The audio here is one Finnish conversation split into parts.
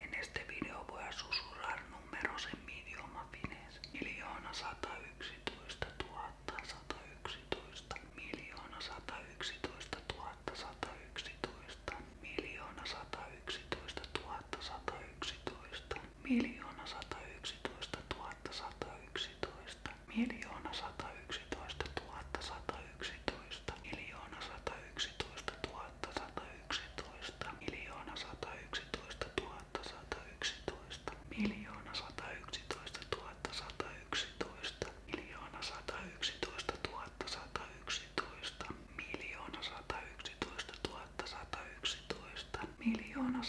En este video voy a susurrar numeros en mi idioma finés. Miljoona 111 111 Miljoona 111 111 Miljoona 111 111 Miljoona 111 111 Miljoona 111 111 Miljoona 111 111 111 miljoona 111 000 111 miljoona 111 000 111 miljoona 111 000 111 miljoona 111 000 111 miljoona 111 000 111 miljoona 111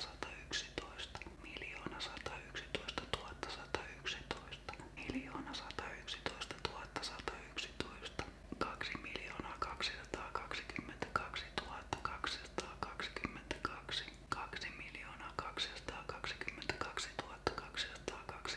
000 111 111 miljoona 111 111 miljoona 111 111 2 miljoonaa 222 222 2 miljoonaa 222 222 2 miljoonaa 222 222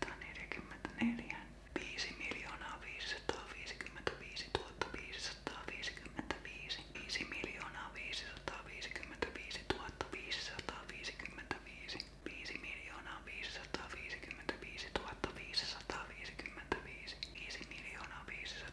244 5 miljoonaa 555 555 5 miljoonaa 555 555 5 miljoonaa 555 555 5 miljoonaa 555 555 5 miljoonaa 555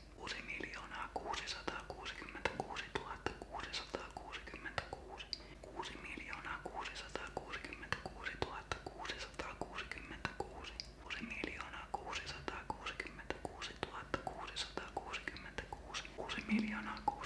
6 miljoonaa 666 666 6 miljoonaa 666 666 6 miljoonaa 666 666 6 miljoonaa 666 666 6 miljoonaa 666 666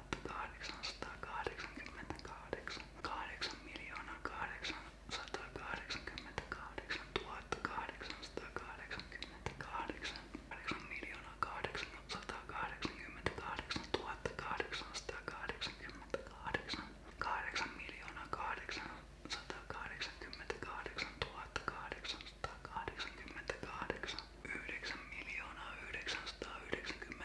888 8 miljoonaa 888 1888 8 miljoonaa 888 1888 8 miljoonaa 888 1888 9 miljoonaa 999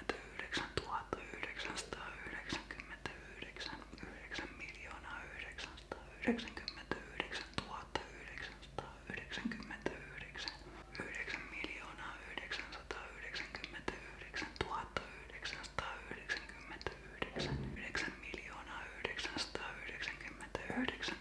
000 999 9 miljoonaa 999 999 9 miljoonaa 999 999 9 miljoonaa 999 999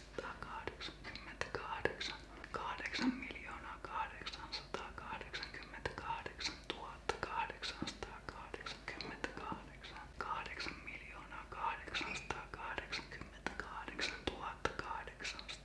888 8 miljoonaa 888 888 8 miljoonaa 888 1888 8 miljoonaa 888 1888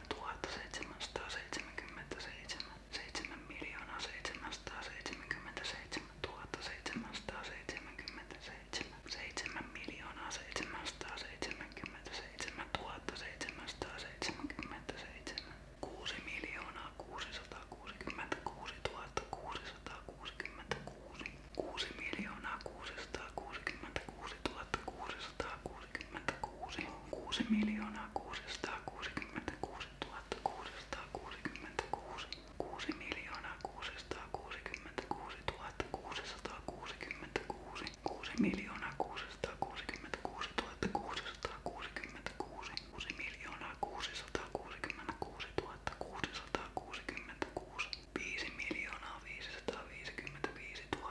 777 7 miljoonaa 777 777 7 miljoonaa 777 777 6 miljoonaa 666 666 6 miljoonaa 666 666 6 miljoonaa 666 666 6 miljoonaa 666 666 6 miljoonaa 666 666 6 miljoonaa 666 666 5 miljoonaa 555 000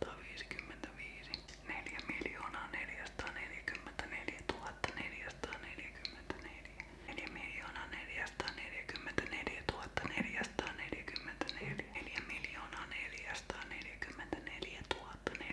455 4 miljoonaa 444 444 4 miljoonaa 444 444 4 miljoonaa 444 444 4 miljoonaa 444 444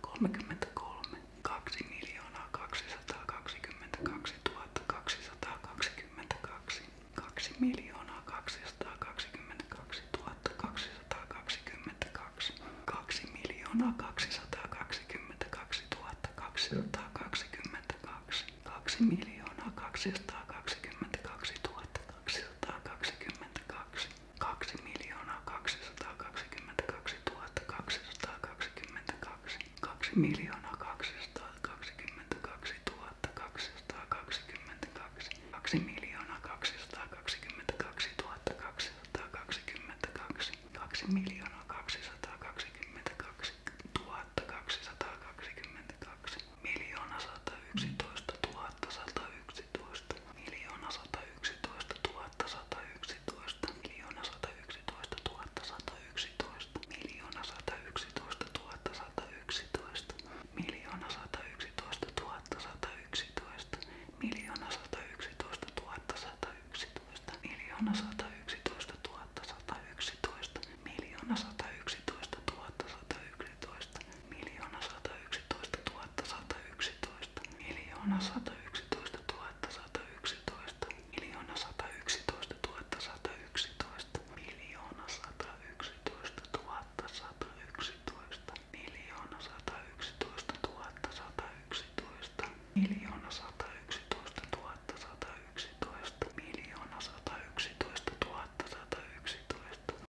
333 2 miljoonaa 222 222 2 miljoonaa 222 222 2 miljoonaa 222 222 2 miljoonaa 222 222 2 miljoonaa 222 222 2 miljoonaa 222 222 2 miljoonaa 222 222 2 miljoonaa 222 222 miljoona 111 111 miljoona sata yksitoista tuhatta sata yksitoista miljoona sata yksitoista tuhatta sata yksitoista miljoona sata yksitoista tuhatta sata yksitoista miljoona sata yksitoista tuhatta sata yksitoista miljoona sata yksitoista tuhatta sata yksitoista miljoona sata yksitoista tuhatta sata yksitoista miljoona sata yksitoista tuhatta sata yksitoista sataviisitoista, miljoona satayksitoista tuhatta satayksitoista, miljoona satayksitoista tuhatta satayksitoista, miljoona satayksitoista tuhatta satayksitoista, miljoona satayksitoista tuhatta satayksitoista, miljoona satayksitoista tuhatta satayksitoista, miljoona satayksitoista tuhatta satayksitoista, miljoona satayksitoista tuhatta satayksitoista.